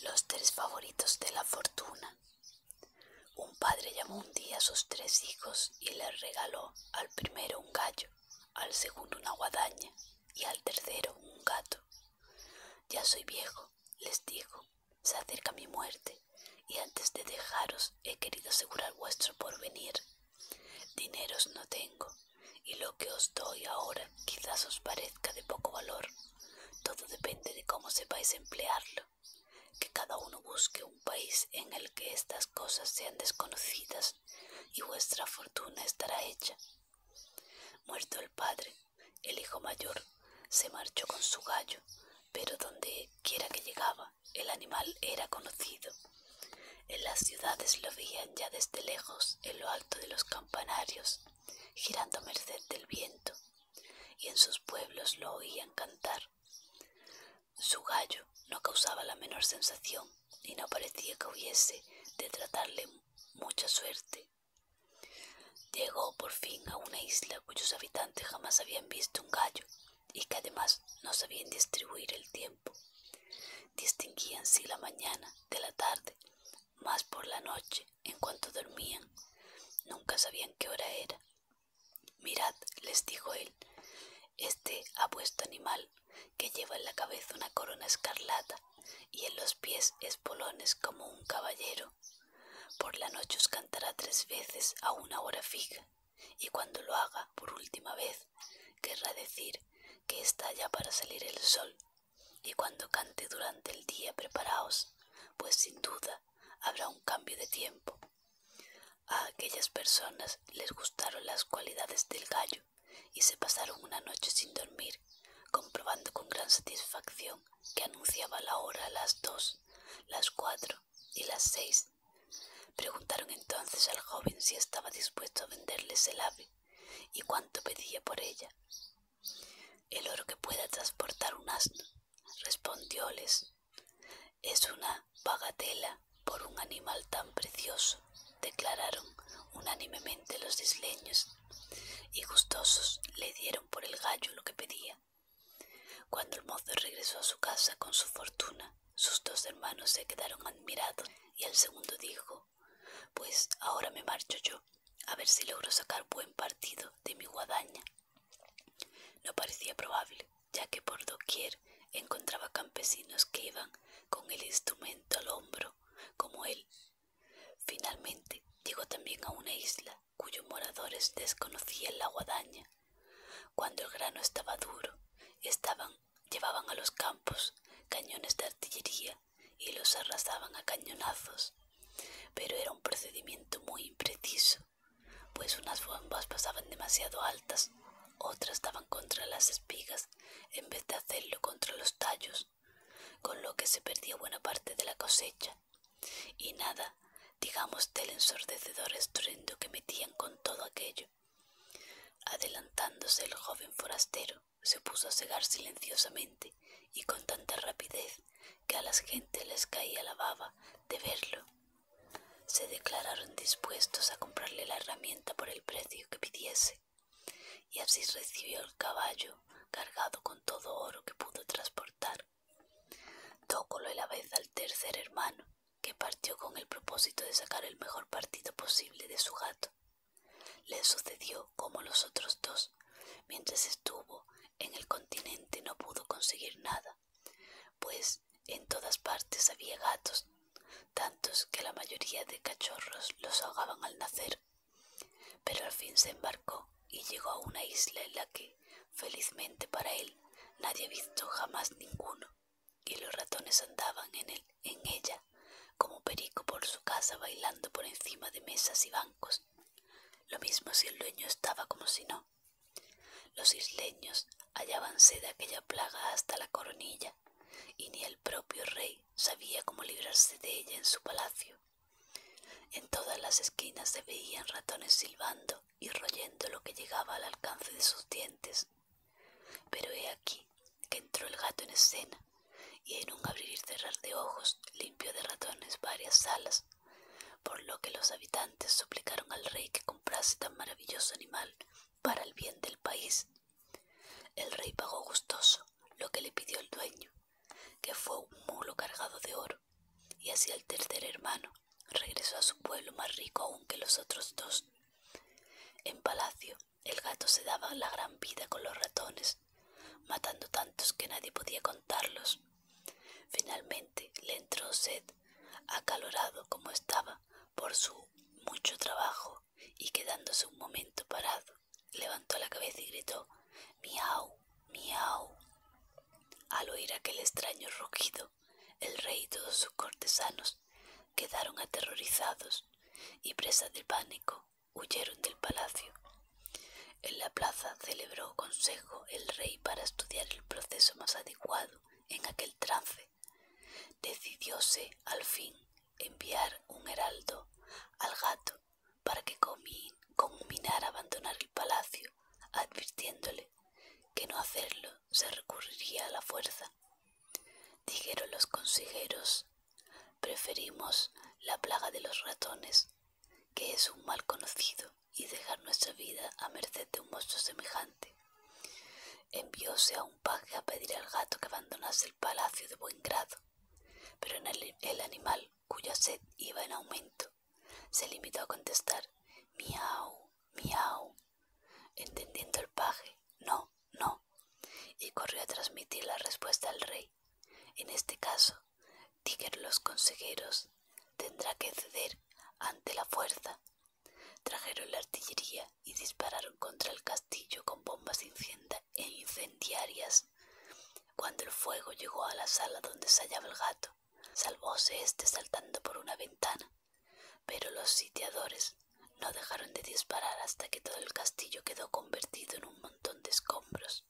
Los tres favoritos de la fortuna. Un padre llamó un día a sus tres hijos y les regaló al primero un gallo, al segundo una guadaña y al tercero un gato. Ya soy viejo, les dijo, se acerca mi muerte y antes de dejaros he querido asegurar vuestro porvenir. Dineros no tengo, y lo que os doy ahora quizás os parezca de poco valor. Todo depende de cómo sepáis emplearlo. Que cada uno busque un país en el que estas cosas sean desconocidas y vuestra fortuna estará hecha. Muerto el padre, el hijo mayor se marchó con su gallo, pero donde quiera que llegaba, el animal era conocido. En las ciudades lo veían ya desde lejos en lo alto de los campanarios, girando a merced del viento, y en sus pueblos lo oían cantar. Su gallo no causaba la menor sensación y no parecía que hubiese de tratarle mucha suerte. Llegó por fin a una isla cuyos habitantes jamás habían visto un gallo y que además no sabían distribuir el tiempo. Distinguían si la mañana de la tarde, más por la noche, en cuanto dormían. Nunca sabían qué hora era. Mirad, les dijo él, este apuesto animal, que lleva en la cabeza una corona escarlata y en los pies espolones como un caballero. Por la noche os cantará tres veces a una hora fija y cuando lo haga por última vez querrá decir que está ya para salir el sol, y cuando cante durante el día preparaos, pues sin duda habrá un cambio de tiempo. A aquellas personas les gustaron las cualidades del gallo y se pasaron una noche sin dormir, comprobando con gran satisfacción que anunciaba la hora las dos, las cuatro y las seis Preguntaron entonces al joven si estaba dispuesto a venderles el ave y cuánto pedía por ella. El oro que pueda transportar un asno, respondióles, es una bagatela por un animal tan precioso, declararon unánimemente los isleños, y gustosos le dieron por el gallo lo que pedía. Cuando el mozo regresó a su casa con su fortuna, sus dos hermanos se quedaron admirados y el segundo dijo, pues ahora me marcho yo, a ver si logro sacar buen partido de mi guadaña. No parecía probable, ya que por doquier encontraba campesinos que iban con el instrumento al hombro, como él. Finalmente llegó también a una isla cuyos moradores desconocían la guadaña. Cuando el grano estaba duro, llevaban a los campos cañones de artillería y los arrasaban a cañonazos. Pero era un procedimiento muy impreciso, pues unas bombas pasaban demasiado altas, otras daban contra las espigas en vez de hacerlo contra los tallos, con lo que se perdía buena parte de la cosecha. Y nada, digamos del ensordecedor estruendo que metían con todo aquello. Adelantándose el joven forastero, se puso a cegar silenciosamente y con tanta rapidez que a las gentes les caía la baba de verlo. Se declararon dispuestos a comprarle la herramienta por el precio que pidiese, y así recibió el caballo cargado con todo oro que pudo transportar. Tócolo a la vez al tercer hermano, que partió con el propósito de sacar el mejor partido posible de su gato. Le sucedió como los otros dos. Mientras estuvo en el continente no pudo conseguir nada, pues en todas partes había gatos, tantos que la mayoría de cachorros los ahogaban al nacer. Pero al fin se embarcó y llegó a una isla en la que, felizmente para él, nadie ha visto jamás ninguno, y los ratones andaban en, él, en ella, como perico por su casa bailando por encima de mesas y bancos. Lo mismo si el dueño estaba como si no. Los isleños hallábanse de aquella plaga hasta la coronilla, y ni el propio rey sabía cómo librarse de ella en su palacio. En todas las esquinas se veían ratones silbando y royendo lo que llegaba al alcance de sus dientes. Pero he aquí que entró el gato en escena y en un abrir y cerrar de ojos limpió de ratones varias salas, por lo que los habitantes suplicaron al rey que comprase tan maravilloso animal para el bien del país el rey pagó gustoso lo que le pidió el dueño, que fue un mulo cargado de oro, y así el tercer hermano regresó a su pueblo más rico aún que los otros dos. En palacio, el gato se daba la gran vida con los ratones, matando tantos que nadie podía contarlos. Finalmente le entró sed, acalorado como estaba por su mucho trabajo y quedándose un momento parado, levantó la cabeza y gritó Miau, miau. Al oír aquel extraño rugido, el rey y todos sus cortesanos quedaron aterrorizados y, presa del pánico, huyeron del palacio. En la plaza celebró consejo el rey para estudiar el proceso más adecuado en aquel trance decidióse al fin enviar un heraldo al gato para que combinara abandonar el palacio, advirtiéndole que no hacerlo se recurriría a la fuerza. Dijeron los consejeros, preferimos la plaga de los ratones, que es un mal conocido, y dejar nuestra vida a merced de un monstruo semejante. Envióse a un paje a pedir al gato que abandonase el palacio de buen grado, pero el, animal, cuya sed iba en aumento, se limitó a contestar miau, miau, entendiendo el paje, no, no, y corrió a transmitir la respuesta al rey. En este caso, Tiger los consejeros tendrá que ceder ante la fuerza Trajeron la artillería y dispararon contra el castillo con bombas e incendiarias. Cuando el fuego llegó a la sala donde se hallaba el gato, salvóse este saltando por una ventana. Pero los sitiadores no dejaron de disparar hasta que todo el castillo quedó convertido en un montón de escombros.